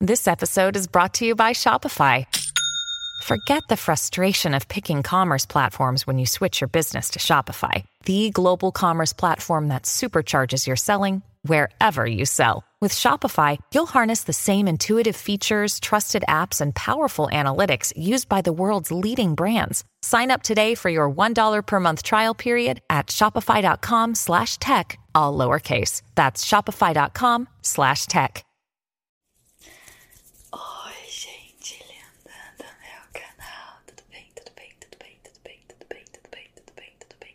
This episode is brought to you by Shopify. Forget the frustration of picking commerce platforms when you switch your business to Shopify, the global commerce platform that supercharges your selling wherever you sell. With Shopify, you'll harness the same intuitive features, trusted apps, and powerful analytics used by the world's leading brands. Sign up today for your $1 per month trial period at shopify.com slash tech, all lowercase. That's shopify.com slash tech.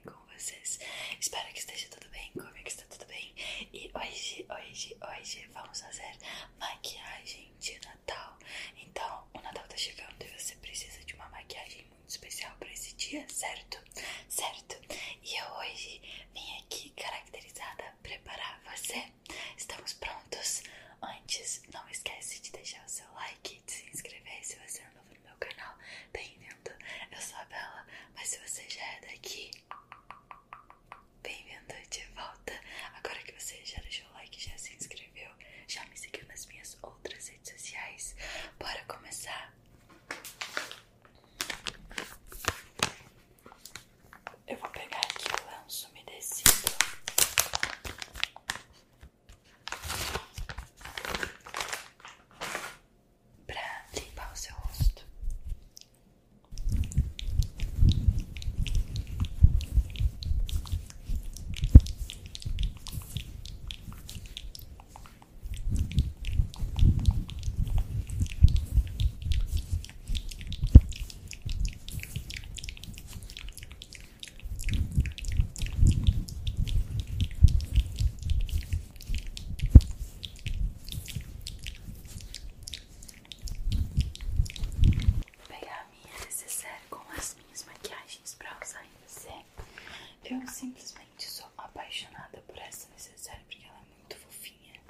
com vocês. Espero muito especial para esse dia, certo? Certo? E eu hoje vim aqui caracterizada preparar você. Estamos prontos? Antes, não esquece de deixar o seu like, de se inscrever se você é novo no meu canal. Bem-vindo! Eu sou a Bela, mas se você já é daqui, bem-vindo de volta. Agora que você já deixou o like, já se inscreveu, já me seguiu nas minhas outras redes sociais, bora começar? Eu vou pegar aqui o lenço umedecido. Pra limpar o seu rosto. Vou pegar a minha necessaire com as minhas maquiagens pra usar em você. Eu simplesmente só apaixonada por essa necessária porque ela é muito fofinha.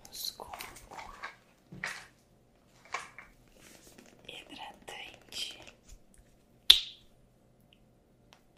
Vamos com hidratante.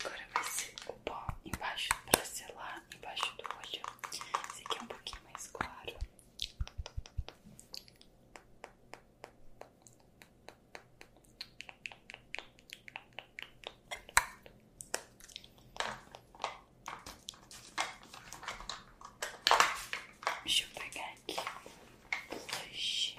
Agora vai ser o pó embaixo para selar, embaixo do olho. Esse aqui é um pouquinho mais claro. Deixa eu pegar aqui blush.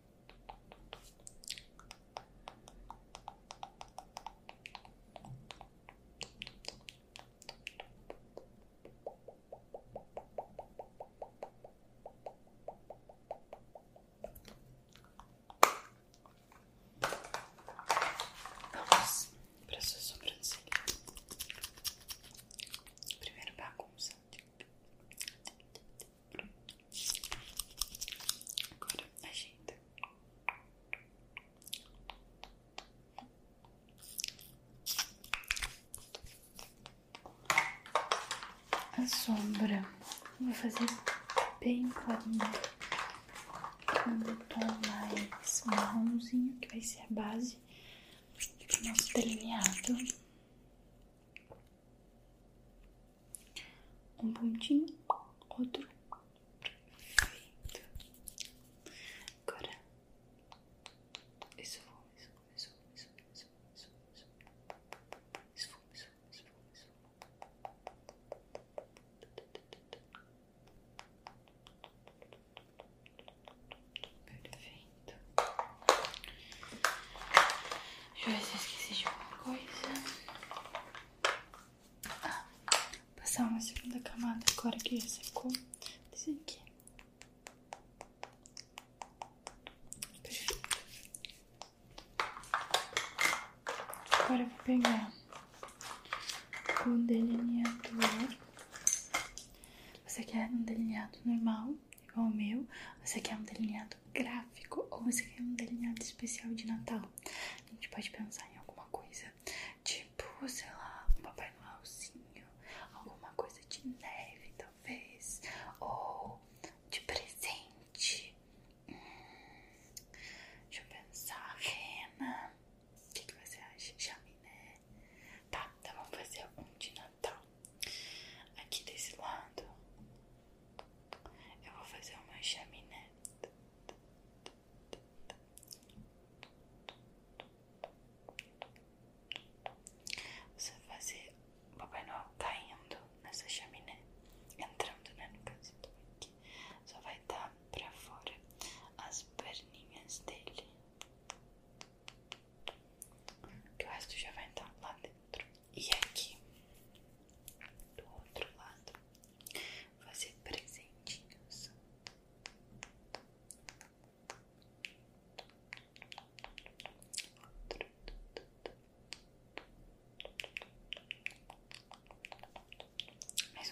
Vamos para sua sobrancelha. Primeiro bagunça. Agora ajeita. A sombra vou fazer bem clarinha no tom mais marronzinho, que vai ser a base do tá nosso delineado. Um pontinho, outro. Perfeito. Agora. Isso, isso, isso, isso, isso, isso, isso. Isso, isso, isso, isso. Perfeito. Pronto. Deixa eu ver se eu esqueci de alguma coisa. Ah, passar uma segunda camada agora que secou. Esse aqui. Perfeito. Agora eu vou pegar um delineador. Você quer um delineado normal? igual o meu, Você quer um delineado gráfico ou você quer um delineado especial de Natal. A gente pode pensar em alguma coisa, tipo, sei lá, um Papai Noelzinho, alguma coisa de neve, talvez, ou de presente. Hum, deixa eu pensar, rena. O que, você acha? Chaminé. Tá, então vamos fazer um de Natal. Tá. aqui desse lado. Eu vou fazer uma chaminé. Você vai fazer o Papai caindo nessa chaminé, entrando, né? No caso, aqui. Só vai dar pra fora as perninhas dele. Que o resto já vai entrar lá dentro. E aqui do outro lado fazer presentinhos. Outro. Mais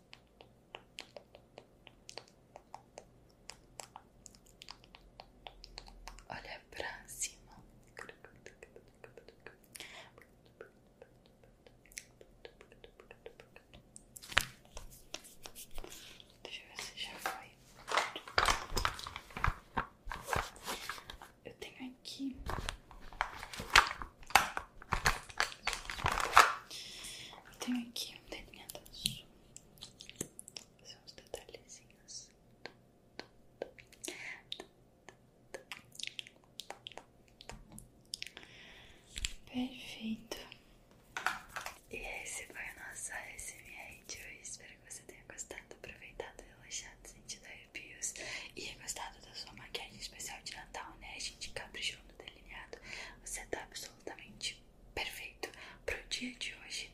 Olha pra cima. Deixa eu ver se já foi. Eu tenho aqui tenho aqui um delineador são uns detalhezinhos Perfeito E esse foi o nosso ASMR de hoje Espero que você tenha gostado, aproveitado, relaxado, sentido arrepios E gostado da sua maquiagem especial de Natal, né? A gente caprichou delineado, você tá absolutamente perfeito pro dia de hoje.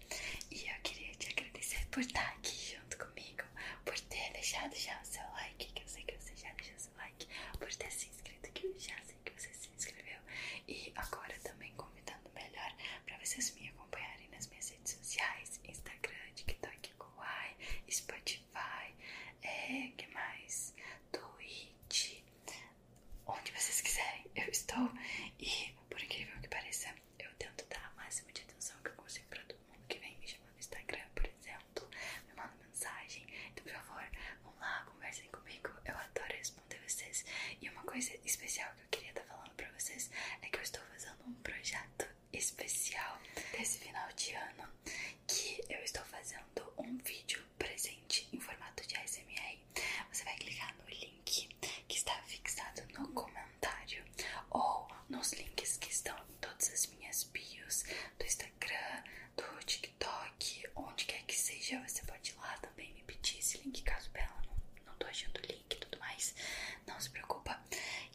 E eu queria te agradecer por estar tá aqui junto comigo, por ter deixado já o seu like, que eu sei que você já deixou o seu like, por ter se inscrito, que eu já sei que você se inscreveu. E agora também convidando melhor para vocês me acompanharem nas minhas redes sociais, Instagram, TikTok, Kawaii, Spotify, é, que mais? Twitch, onde vocês quiserem, eu estou. E por incrível que pareça, eu tento dar a máxima de atenção que eu consigo para todo mundo que vem me chamar no Instagram, por exemplo, me manda mensagem. Então, por favor, vão lá, conversem comigo. Eu adoro responder vocês. E uma coisa especial que eu queria estar tá falando para vocês é que eu estou fazendo um projeto especial desse final de ano que eu estou fazendo um vídeo presente em formato de ASMR. Você vai clicar no link que está fixado no comentário ou nos links que estão em todas as minhas bios do Instagram, do TikTok, onde quer que seja. Você pode ir lá também me pedir esse link caso ela não, não tô achando o link e tudo mais. Não se preocupa,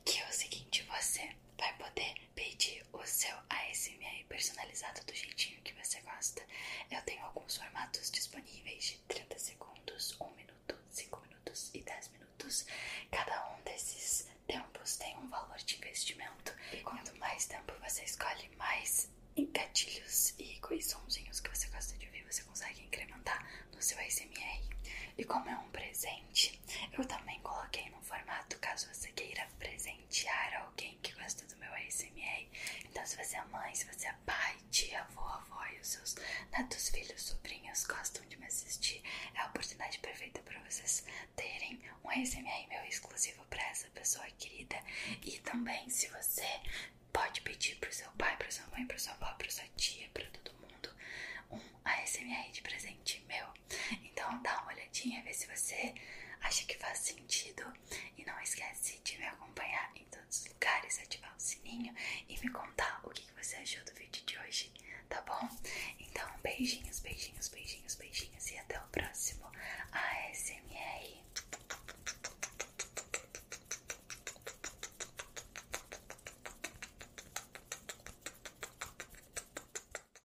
que é o seguinte: você vai poder pedir o seu ASMR personalizado do jeitinho que você gosta. Eu tenho alguns formatos disponíveis de 30 segundos, 1 minuto, 5 minutos e 10 minutos. Cada um desses tempos tem um valor de investimento e quanto mais tempo você escolhe, mais gatilhos e coisãozinhos que você gosta de ver você consegue incrementar no seu ASMR. E como é um presente, eu também coloquei no formato caso você queira presente presentear alguém que gosta do meu ASMR. Então, se você é mãe, se você é pai, tia, avô, avó e os seus netos, filhos, sobrinhos gostam de me assistir, é a oportunidade perfeita para vocês terem um ASMR meu exclusivo para essa pessoa querida. E também, se você pode pedir para o seu pai, para pra sua mãe, para pra sua avó, pra sua tia, para todo mundo um ASMR de presente meu. Então dá uma olhadinha, vê se você acha que faz sentido. E não esquece de me acompanhar em todos os lugares, ativar o sininho e me contar o que você achou do vídeo de hoje, tá bom? Então beijinhos, beijinhos, beijinhos, beijinhos e até o próximo ASMR.